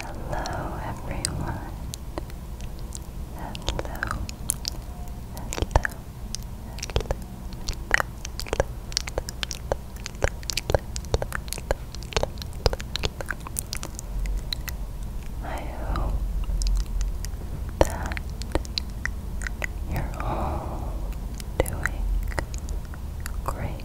Hello everyone. Hello. Hello. Hello. I hope that you're all doing great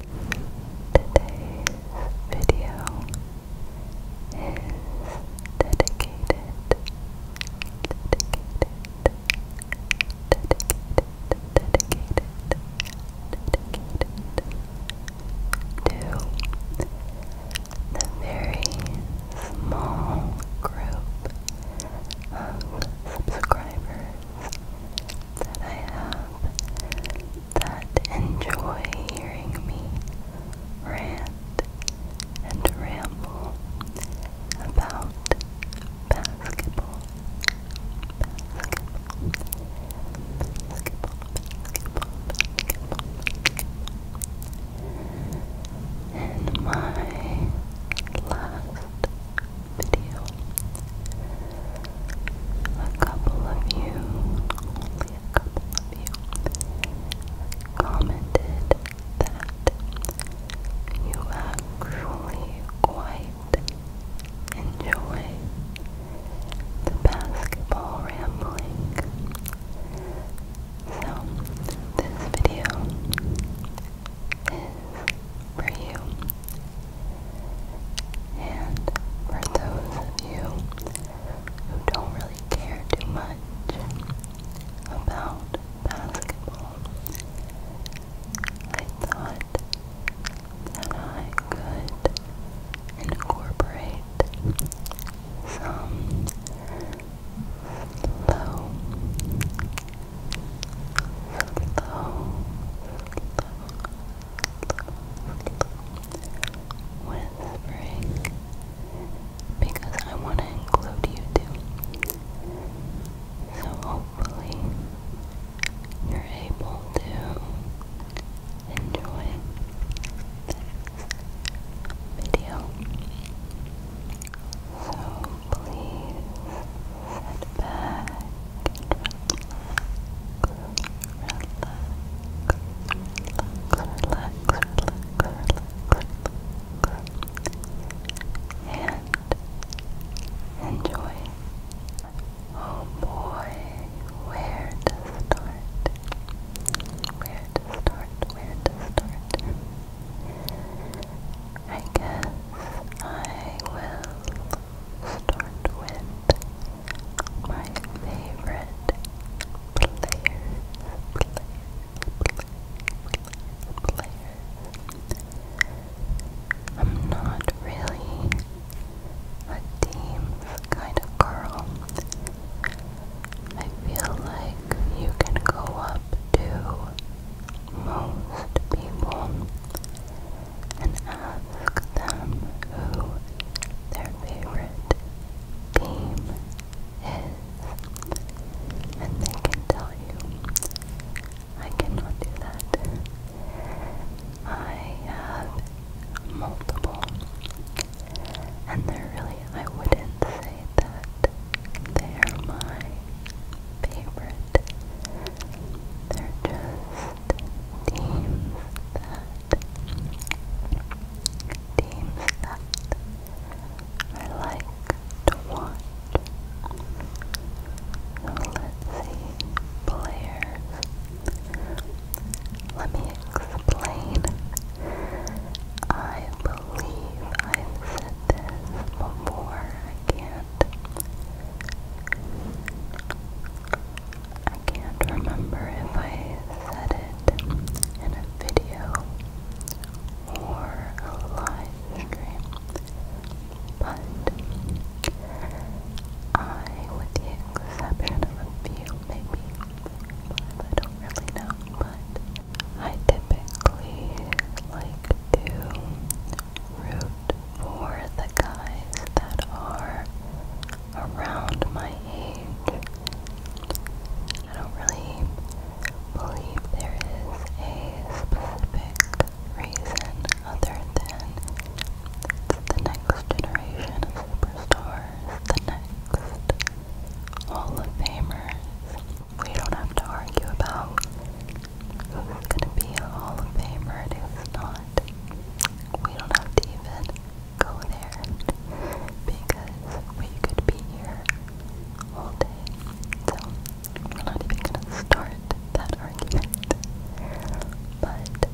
Today's video is dedicated, dedicated, dedicated, dedicated, dedicated to the very small group of subscribers that I have that enjoy hearing me rant and ramble about basketball. Basketball. Basketball. Basketball. Basketball. In my last video. A couple of you, only a couple of you, commented that you actually quite enjoy the basketball rambling. So, this video is for you. And for those of you who don't really care too much about basketball, I thought that I could incorporate some slow slow, whispering because I want to include you too. So hopefully you're able to enjoy this video. So please Sit back relax, relax, relax, relax, relax, relax, and enjoy. Oh boy, where to start? Where to start? Where to start? I guess I will start with my favorite players, players, players, players. I'm not really a teams kind of girl. I feel like you can go up to most people and ask them who their favorite team is, and they can tell you. I cannot do that. I have multiple, and they're really, I wouldn't say that they're my favorite. They're just teams that teams that I like to watch. let's see players. Let me explain. I believe I've said this before. I I can't remember if I said it in a video or a live stream, but I, with the a few, maybe I don't really know, but I typically like to root for the guys that are around my age. I don't really believe there is a specific reason other than the next generation of superstars, the next Hall of Famers. We don't have to argue about who's gonna be a Hall of Famer and who's not. We don't have to even go there because we could be here all day. So we're not even gonna start that argument. But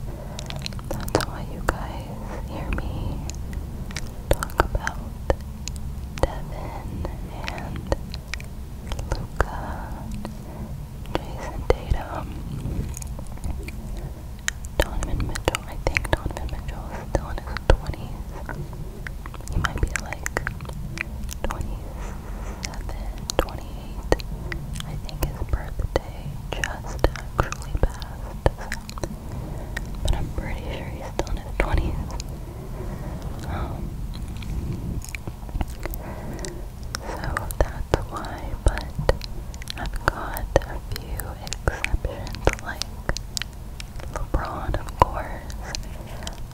that's why you guys hear me talk about Devin and Luca Jason Tatum, Donovan Mitchell. I think Donovan Mitchell is still in his 20s. He might be like 27, I think his birthday just actually passed. But I'm pretty sure he's still in his 20s. So that's why, but I've got a few exceptions like LeBron, of course.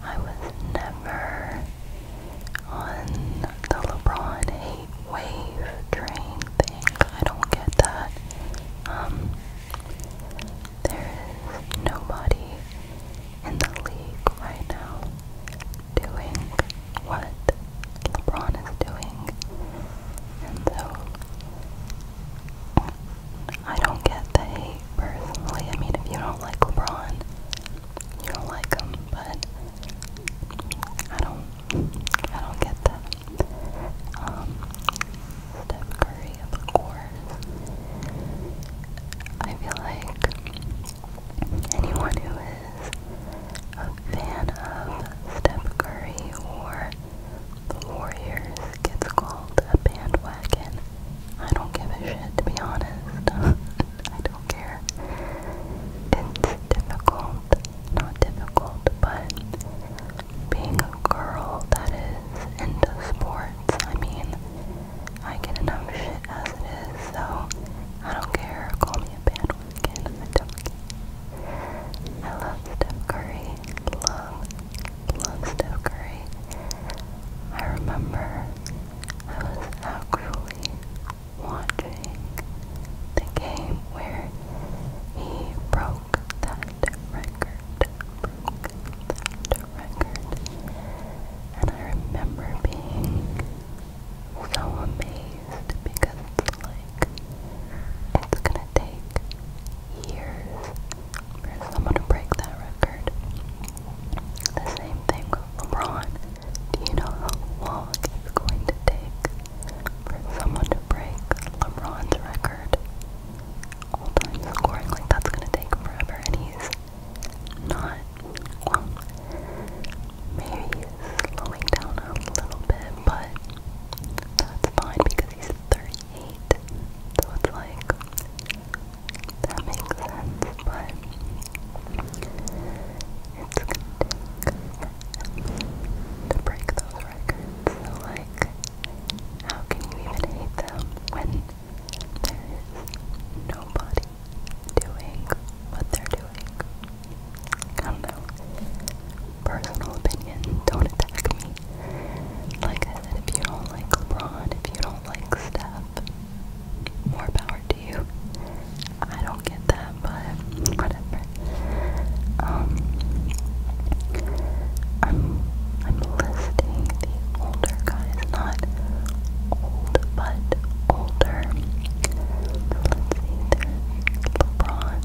I was never on the LeBron hate wave train thing. I don't get that. Um, there is nobody in the league right now doing what LeBron is doing. And so I don't get the hate personally. I mean, if you don't like LeBron, you don't like him, but I don't, I don't get that. Um, Steph Curry, of course. I feel like anyone who is a fan of Steph Curry or the Warriors gets called a bandwagon. I don't give a shit, to be honest. I don't care. It's difficult. Not difficult, but being a girl that is into sports, I mean, I get enough shit as it is, so I don't care. Call me a bandwagon. I don't care. I love Steph Curry. Love, love Steph Curry. I remember I was actually watching the game where he broke that record record. And I remember being so amazed because it's like it's gonna take years for someone to break that record. The same thing with LeBron. Do you know how long it's going to take for someone to break LeBron's record? All time scoring, like that's gonna take forever and he's not well maybe slowing down a little bit but that's fine because he's 38 so it's like that makes sense but it's gonna break those records like how can you even hate them when there is nobody doing what they're doing. I don't know. Personal opinion, don't attack me. Like I said, if you don't like LeBron, if you don't like Steph, more power to you. I don't get that, but whatever. Um, I'm I'm listing older guys, not old, but older. Let's see, there's LeBron,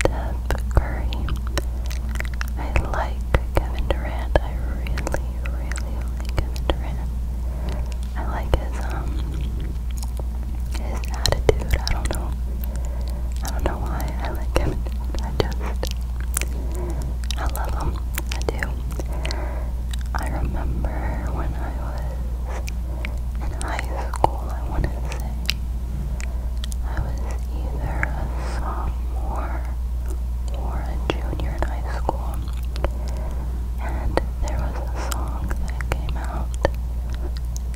Steph Curry. I like Kevin Durant. I really, really like Kevin Durant. I like his um his attitude. I don't know. I don't know why I like him. I just I love him. I do. I remember when I was in high school, I want to say, I was either a sophomore or a junior in high school, and there was a song that came out,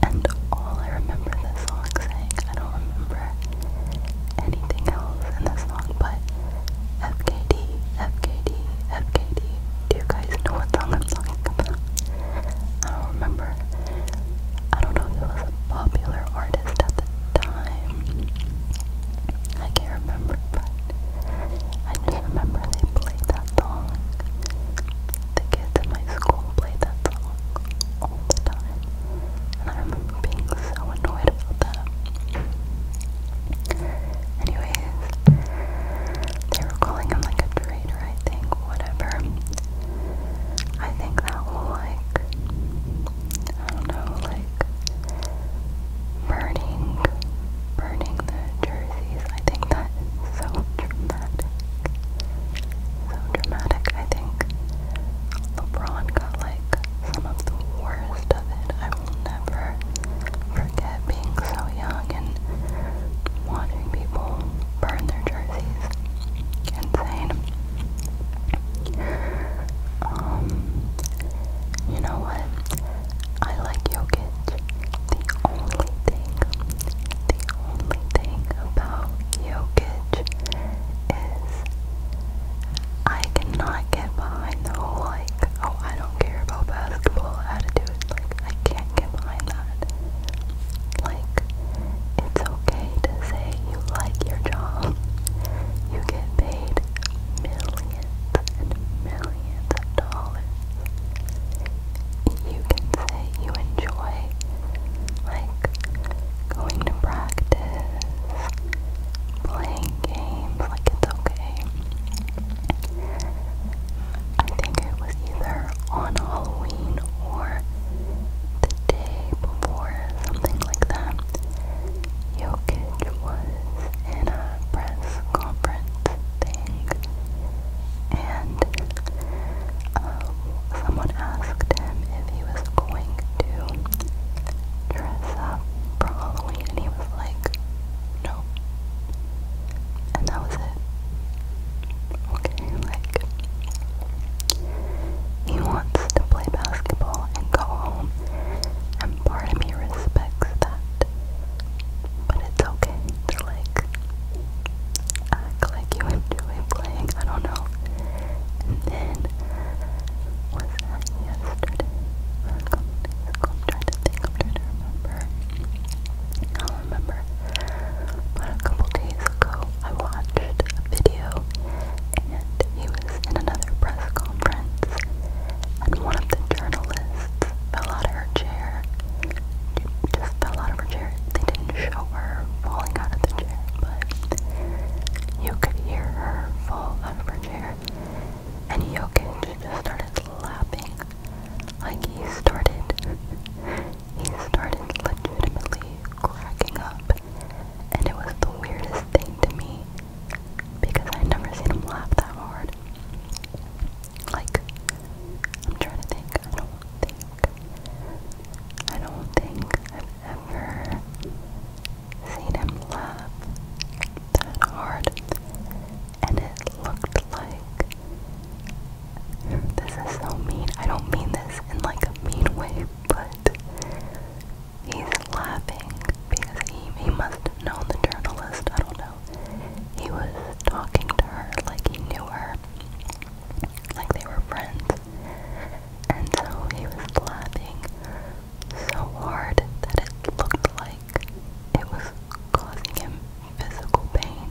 and all I remember the song saying, I don't remember anything else in this song, but FKD, Do you guys know what song I'm talking about? I don't remember. I don't know if it was a popular artist at the time. I can't remember, but I just remember they played that song. The kids in my school played that song all the time. And I remember being so annoyed about that. Anyways, they were calling him like a traitor, I think, whatever. I think that will like, I don't know, like burning, burning the jerseys. I think that is so dramatic. So dramatic. I think LeBron like some of the worst of it. I will never forget being so young and watching people burn their jerseys. Insane. Um, you know what? I like Jokic. The only thing, the only thing about Jokic is I cannot get behind the whole like, oh, I don't care about basketball it? Like, I can't get behind that. Like, it's okay to say you like your job. You get paid millions and millions of dollars. You can say you enjoy, like, going to practice, playing playing games, like it's okay. I think it was either on Halloween or the day before, something like that. Jokic was in a press conference thing, and um, someone asked him if he was going to dress up for Halloween and he was like, no. And that was it. like he wants to play basketball and go home and part of me respects that. But it's okay. they like act like you enjoy playing. I don't know. And then, was that yesterday? I'm trying to think, I'm trying to remember. I'll remember. But a couple days ago, I watched a video and he was in another press conference and one of the journalists fell out of her chair. just fell out of her chair. They didn't show her falling out of the chair, but you could hear her fall out of her and Jokic just started laughing, Like he started, he started legitimately cracking up, and it was the weirdest thing to me because I'd never seen him laugh that hard. Like, I'm trying to think. I don't think. I don't think I've ever seen him laugh that hard, and it looked like this is so mean. I don't mean this in like a mean way, but he's laughing because he, he must have known the journalist. I don't know. He was talking to her like he knew her, like they were friends. And so he was laughing so hard that it looked like it was causing him physical pain.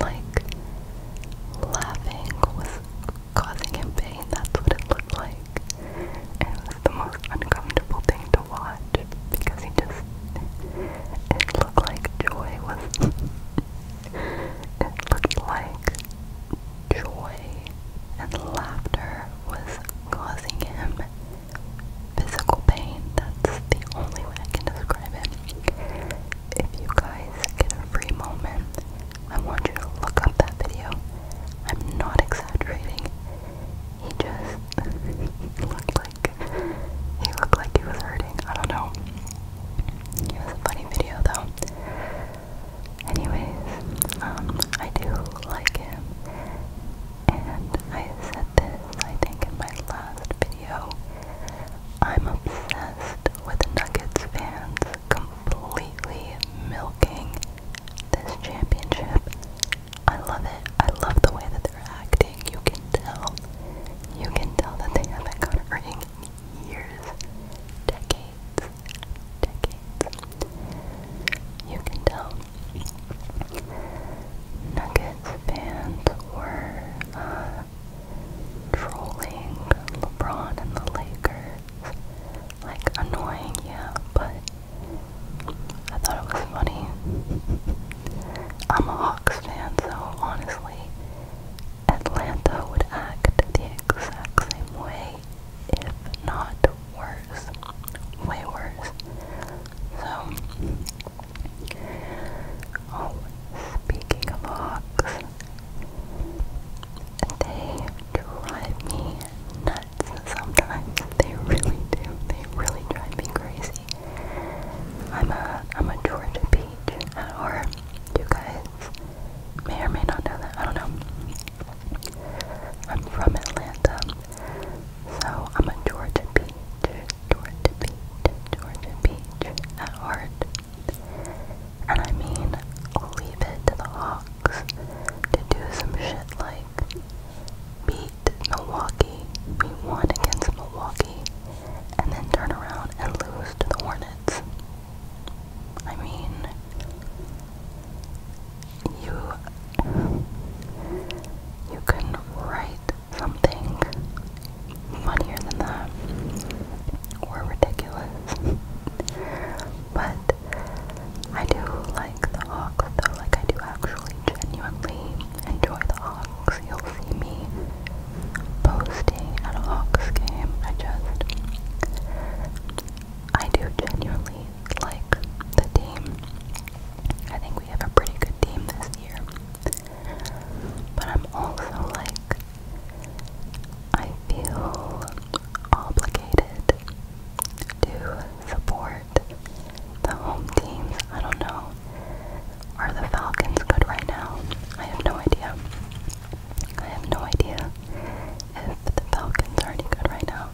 Like laughing was causing him pain, that's what it looked like. it was the most uncomfortable thing to watch because he just it looked like joy was it looked like joy and laughter was causing him physical pain. That's the only way I can describe it. If you guys get a free moment, I want you to look up that video. I'm not exaggerating. He just looked like he looked like he was hurting. I don't know. It was a funny video though. Anyways, um, I do like him. And I said this, I think, in my last video. I'm obsessed with Nuggets fans completely milking this championship. I love it. I love the way that they're acting. You can tell. You can tell that they haven't got a ring in years, decades decades. You can tell. Nuggets fans were uh, trolling LeBron and the Lakers. Like, annoying, yeah, but I thought it was funny. I'm a Hawks fan, so honestly, Atlanta would act the exact same way if not worse, way worse. So, oh, speaking of hawks, they drive me nuts sometimes. They really do. They really drive me crazy. I'm a I'm a Georgia peach at You guys may or may not know that. I don't know. I'm from Atlanta, so I'm a Georgia Beach, Georgia Beach, Georgia Beach at heart. And I mean, leave it to the Hawks to do some shit like beat Milwaukee, we won against Milwaukee, and then turn around and lose to the Hornets. I mean, you you can write something funnier than that or ridiculous. but I do like the hawks though, like I do actually genuinely enjoy the hawks. You'll see me posting at a hawks game. I just I do genuinely like the team. I think we have a pretty good team this year. But I'm also like, I feel obligated to support the home teams. I don't know. Are the Falcons good right now? I have no idea. I have no idea if the Falcons are any good right now.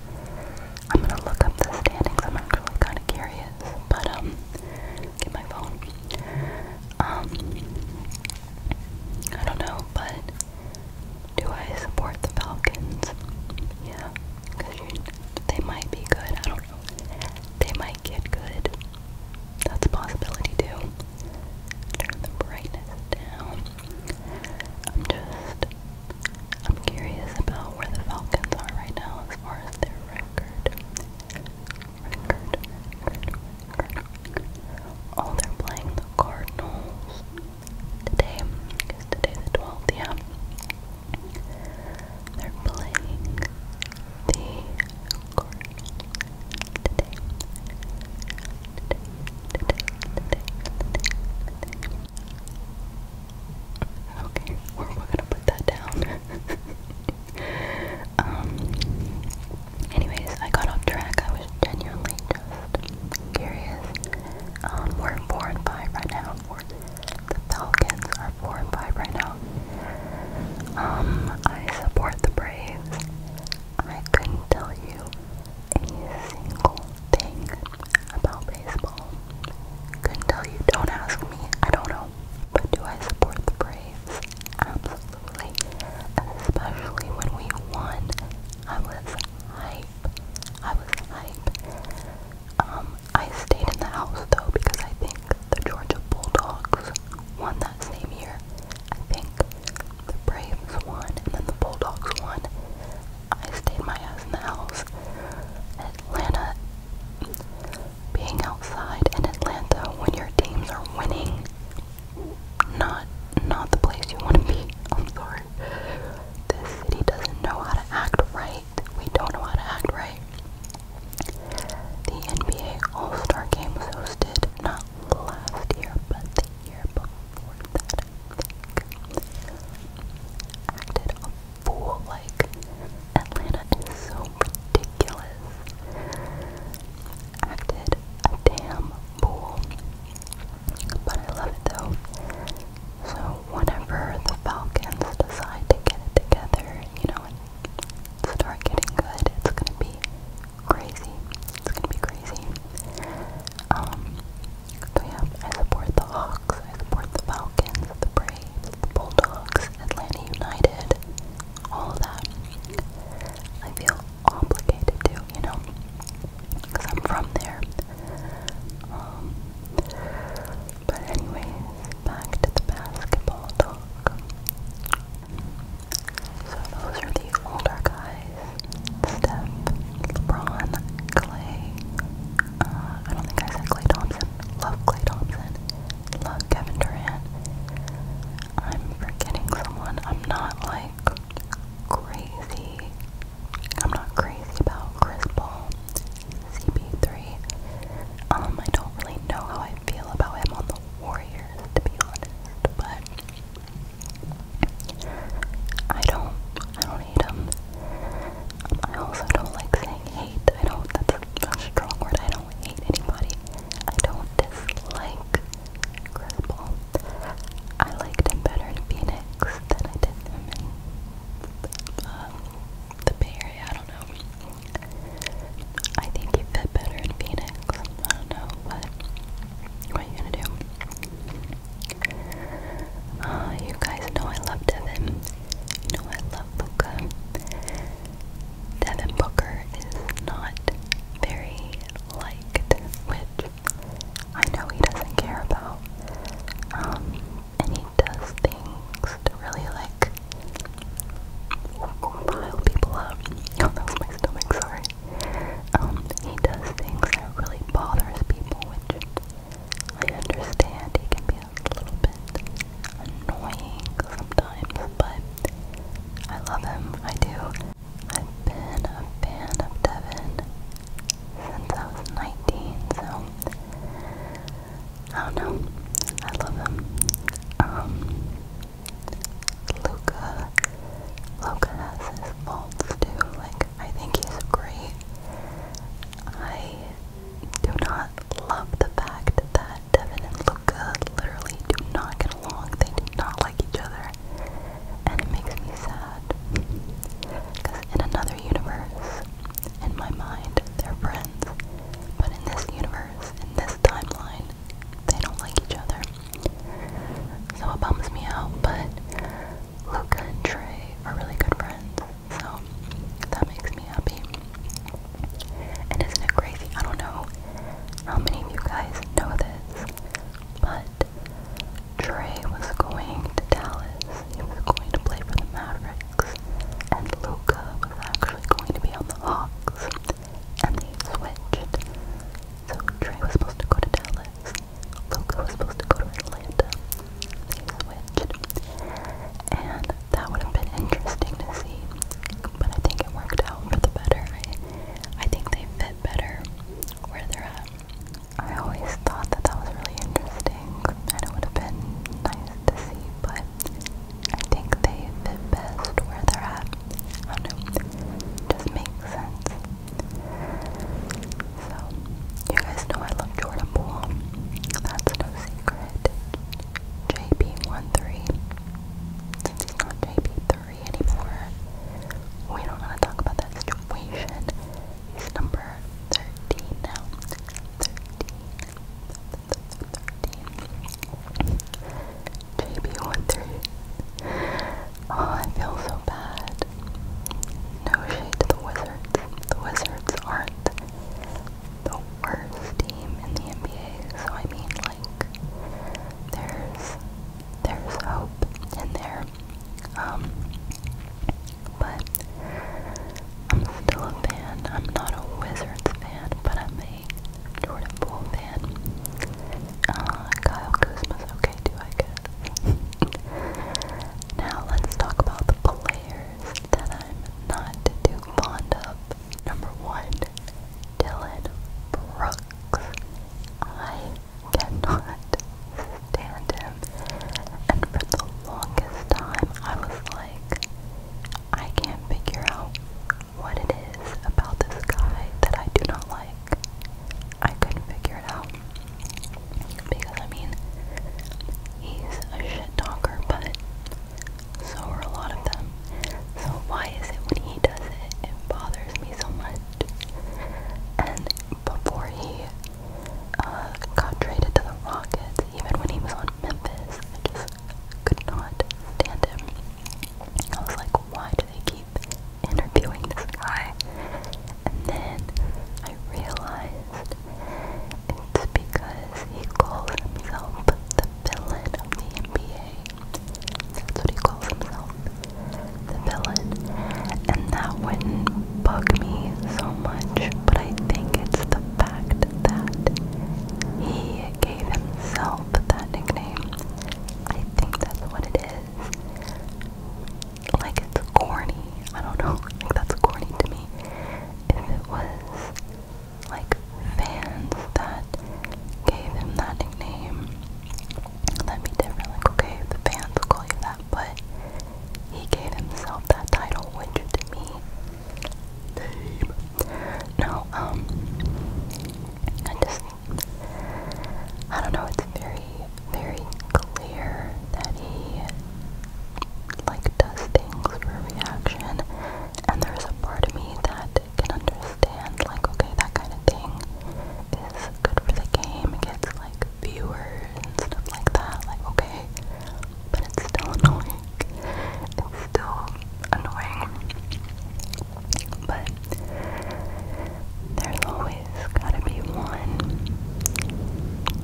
I'm gonna look up the standings. I'm actually kind of curious, but um, get my phone. Um, I don't know, but do I support the Falcons? Yeah, because they might be good. I don't know. They might get good. That's a possibility too. Turn the brightness down. I'm just I'm curious about where the Falcons are right now as far as their record. Oh, they're playing the Cardinals today. today the 12th? They're playing the Cardinals today. Okay, we're, gonna put that down. um. Anyways, I got off track. I was genuinely just curious. Um, we're four and five right now. we Falcons are four and five right now. Um, I support the Braves. I couldn't tell you a single thing about baseball. Couldn't tell you. Don't ask me. I don't know. But do I support the Braves? Absolutely. Especially when we won. I was hype. I was hype. Um, I stayed in the house though because I think the Georgia Bulldogs won that same year. I think the Braves won and then the Bulldogs won. I stayed my ass in the house. Atlanta being outside in Atlanta when your teams are winning not not the place you want to be. I'm sorry. This city doesn't know how to act right. We don't know how to act right. The NBA All-Star Game was hosted not last year, but the before that, Acted a fool, like, Atlanta is so ridiculous. Acted a damn fool. But I love it though. So, whenever the Falcons decide to get it together, you know, start getting good, it's gonna be crazy. It's gonna be crazy. Um, so yeah, I support the Hawks, I support the Falcons, the Braves, the Bulldogs, Atlanta United, all of that. I feel obligated to, you know, because I'm from there. Um, but anyways, back to the basketball talk. So those are the older guys. Steph, LeBron, Clay. Uh, I don't think I said Clay Thompson. Love Clay Thompson. Love Kevin Durant. I'm forgetting someone. I'm not like crazy. I'm not crazy about Chris Paul, CP3. Um, I don't really know how I feel about him on the Warriors, to be honest, but I don't, I don't hate him. I also don't like saying hate. I don't, that's a, strong word. I don't hate anybody. I don't dislike Chris Paul. I liked him better in Phoenix than I did him in um, the Bay Area. I don't know. I think he fit better in Phoenix. I don't know, but what are you gonna do? Ah, you guys know I love Devin. You know I love Luca. Devin Booker is not very liked, which I know he doesn't care about. Um, and he does things to really like pile people up. that was my stomach, sorry. Um, he does things that really bothers people, which I understand he can be a little bit annoying sometimes, but I love him, I do. I've been a fan of Devin since I was 19, so I don't know, I love him. Um, Luca. Luca has his faults too. Like I think he's great. I do not love the fact that Devin and Luca literally do not get along. They do not like each other. And it makes me sad. Because in another universe, in my mind, they're friends. But in this universe, in this timeline, they don't like each other. So it bums me out, but Luca and Trey are really good friends, so that makes me happy. And isn't it crazy? I don't know how many of you guys know this, but Trey was going to Dallas. He was going to play for the Mavericks, and Luca was actually going to be on the Hawks and they switched. So Trey was supposed to go to Dallas, Luca was supposed to go to Atlanta. They switched, and that would have been interesting to see. But I think it worked out for the better. I, I think they fit better where they're at. I always thought that that was really interesting, and it would have been nice to see. But I think they fit best where they're at. Oh, I just makes sense. So, you guys know I love Jordan Poole, that's no secret. JP13, since he's not JP3 anymore, we don't want to talk about that situation. He's number 13 now. 13. 13. JB13. Oh, I feel so bad. No shade to the Wizards. The Wizards aren't the worst team in the NBA, so I mean, like, there's there's hope in there. Um, but I'm still a fan. I'm not a Wizards fan, but I'm Jordan Bullman, uh, Kyle Kuzma's okay too, I guess. now let's talk about the players that I'm not too fond of. Number one, Dylan Brooks. I cannot stand him. And for the longest time, I was like, I can't figure out what it is about this guy that I do not like. I couldn't figure it out. Because, I mean, he's a shit talker, but so are a lot of them. So, why is it when he does it, it bothers me so much? And before he uh, got traded to the Rockets, even when he was on Memphis, I just could not stand him. I was like, why do they keep interviewing this guy? And then I realized it's because he calls himself the villain of the NBA. That's what he calls himself, the villain. And that wouldn't bug me so much, but I think it's the fact that he gave himself that nickname. I think that's what it is. Like it's corny. I don't know. Like that's corny to me. If it was like fans that gave him that nickname, that'd be different. Like okay, the fans will call you that, but he gave himself that title, which to me, no, um, I just, I don't know, it's very, very clear that he, like, does things for reaction, and there's a part of me that can understand, like, okay, that kind of thing is good for the game, it gets, like, viewers and stuff like that, like, okay, but it's still annoying. It's still annoying. But there's always gotta be one.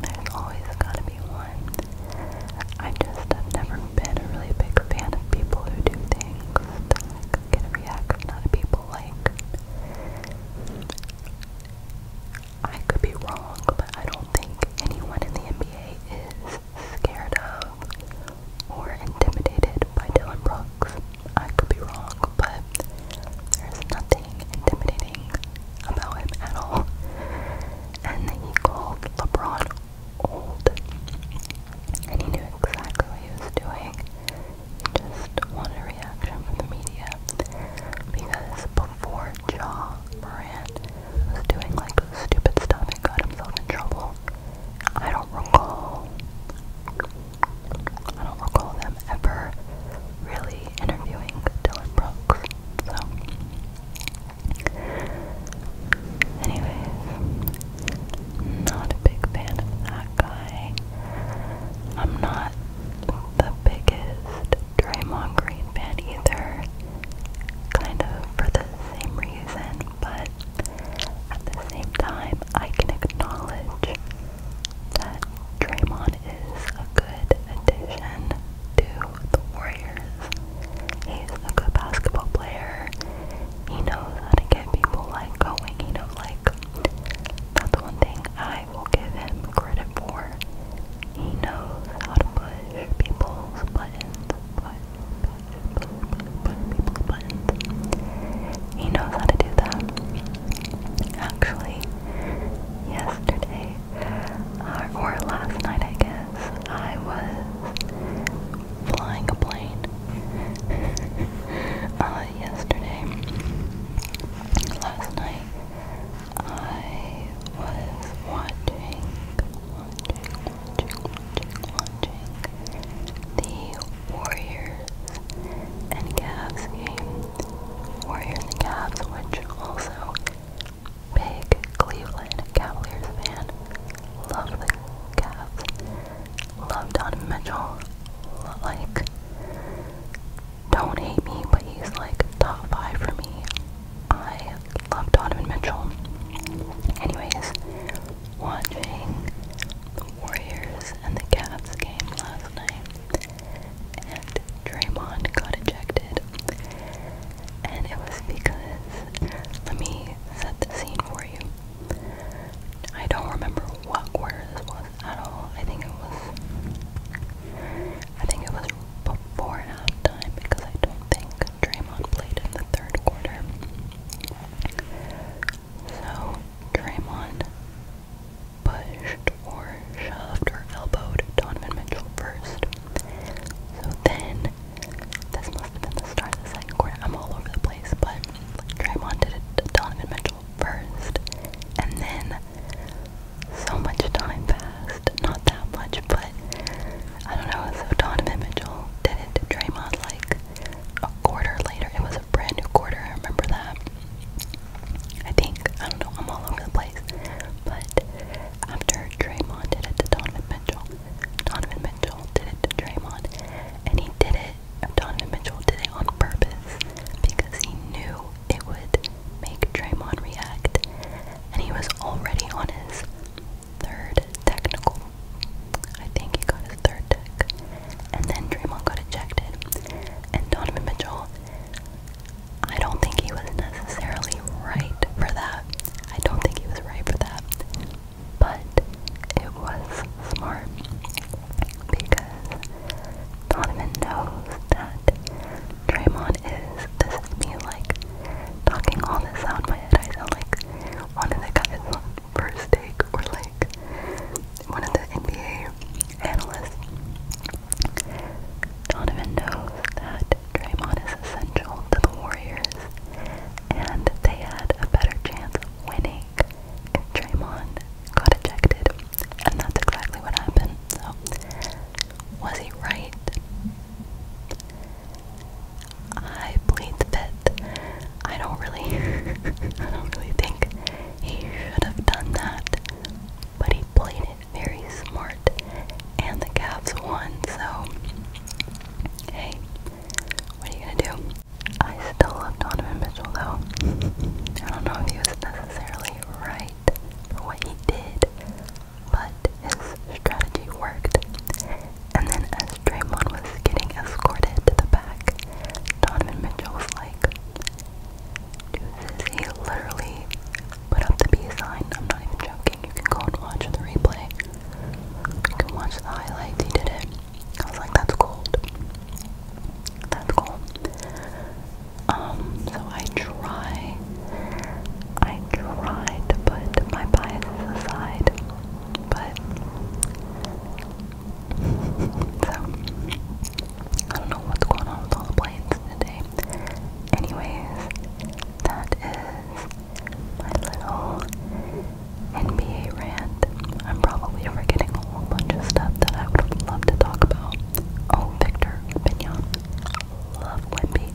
There's always gotta be one. I just have never been a really big fan of people who do things that like, get a reaction out of people like I could be wrong, but I don't think anyone in the NBA is scared of or intimidated by Dylan Brooks. I could be wrong, but there's nothing intimidating about him at all. And he called LeBron old. And he knew exactly what he was doing. He just wanted a reaction from the media. Because before Ja Moran was doing like stupid stuff and got himself in trouble, I don't recall. I don't recall them ever really interviewing Dylan Brooks. So, anyways, not a big fan of that guy. I'm not the biggest Draymond Green fan either. Kind of for the same reason but at the same time, I can acknowledge that Draymond is a good addition to the Warriors. He's a good basketball player. He knows how to get people like going. You know, like that's one thing I will give him credit for. He knows how to push people's but he knows how to do that. Actually, yesterday, uh, or last night, I guess, I was flying a plane. Uh, yesterday, last night, I was watching, watching, watching the Warriors and Cavs game. Warriors and Cavs, which also big Cleveland Cavaliers fan. Love the Cavs. Love Donovan Mitchell. Like, don't hate me, but he's like top five for me. I love Donovan Mitchell. Anyways, watching the Warriors and the Cavs game last night, and Draymond got ejected. And it was because, let me set the scene for you. I don't remember what quarter this was at all. I think it was, I think it was before halftime because I don't think Draymond played in the third quarter. So Draymond pushed or shoved or elbowed Donovan Mitchell first. So then, this must have been the start of the second quarter. I'm all over the place, but Draymond did it Donovan Mitchell first. And then, so much time passed. Not that much, but I don't know, so Donovan Mitchell did it Draymond like a quarter later. It was a brand new quarter, I remember that. I think, I don't know, I'm all over the place. But after Draymond did it Donovan Mitchell, Donovan Mitchell did it Draymond, and he did it. Donovan Mitchell did it on purpose because he knew it would make Draymond react, and he was already on his third technical. I think he got his third tech. And then Draymond got ejected. And Donovan Mitchell, I don't think he was necessarily right for that. I don't think he was right for that. But it was smart because Donovan knows that Draymond is, this is me like talking all this out my head. I sound like one of the guys First Take or like one of the NBA analysts. Donovan knows that Draymond is essential to the Warriors and they had a better chance of winning if Draymond got ejected. And that's exactly what happened. So was he right? I plead the fifth. I don't really, I don't really think he should have done that, but he played it very smart, and the Cavs won. So, hey, what are you gonna do? I still love Donovan Mitchell, though. I don't know if he was necessarily right for what he did, but his strategy worked. And then as Draymond was getting escorted to the back, Donovan Mitchell was like, deuces, he literally put up the B sign. I'm not even joking. You can go and watch the replay. You can watch the highlights. He did it. I was like, that's cold. That's cool. Um, so I try I tried to put my biases aside, but so I don't know what's going on with all the planes today. Anyways, that is my little NBA rant. I'm probably forgetting a whole bunch of stuff that I would love to talk about. Oh, Victor Pignon love Wimby.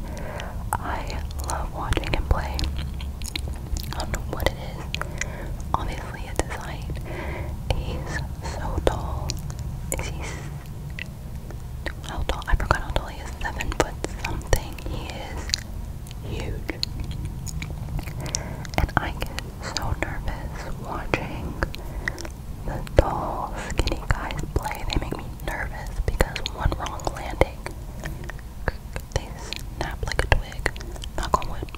I love watching him play. I don't know what it is. Obviously, it's his He's so tall. Is he how tall? I forgot how tall he is. Seven foot something. He is huge. And I get so nervous watching the tall, skinny guys play. They make me nervous because one wrong landing they snap like a twig. Knock on wood.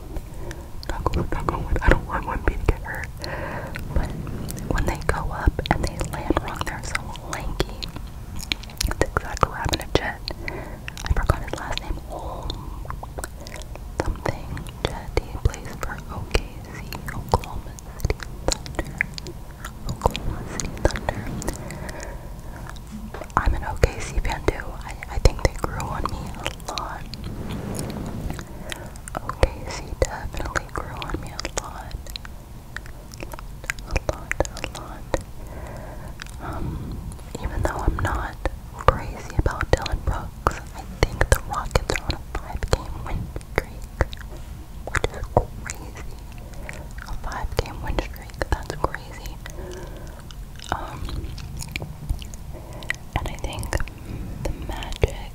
Knock on wood, knock on wood. I don't want one bee to get hurt. But when they go up and they land wrong, they're so lanky. That's exactly what happened Jet. I forgot his last name. Oh, something. Jet, plays for OKC, Oklahoma City Thunder. Oklahoma City Thunder. I'm an OKC fan too. I, I think they grew on me a lot. OKC definitely grew on me a lot. A lot, a lot. Um, even though I'm not crazy about Dylan Brooks, I think the Rockets are a five game win streak, which is crazy. A five game win streak, that's crazy. Um, and I think the Magic,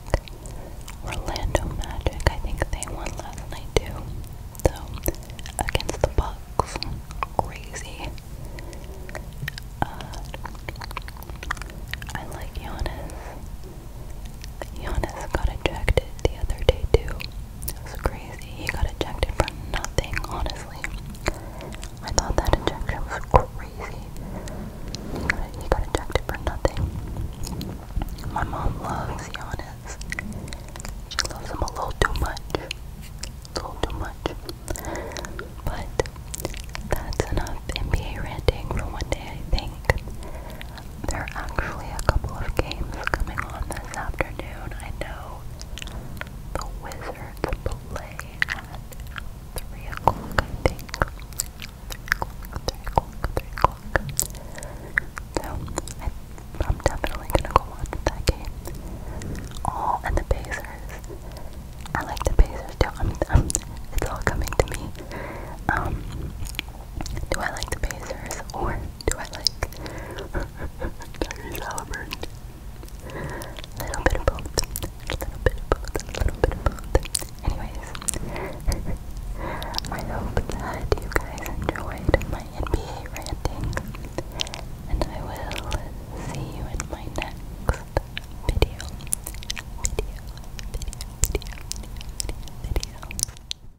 Orlando Magic, I think they won last night too. So, against the Bucks, crazy. Uh, I like Giannis. Giannis got ejected the other day too. It was crazy. He got ejected for nothing, honestly. I thought that injection was crazy. He got, he got ejected for nothing. My mom loves Giannis. She loves him a little too much. A little too much. But that's enough NBA ranting for one day, I think. There are actually a couple of games coming on this afternoon. I know the Wizards play at 3 o'clock, I think. 3 o'clock, 3 o'clock, 3 o'clock. So, I, am definitely gonna go watch that game. Oh, and the Pacers. I like the Pacers too. i mean, I'm, um, it's all coming to me. Um, do I like the Pacers or do I like? Tyrese Little bit of both. Little bit of both. Little bit of both. Anyways, I hope that you guys enjoyed my NBA ranting, and I will see you in my next video.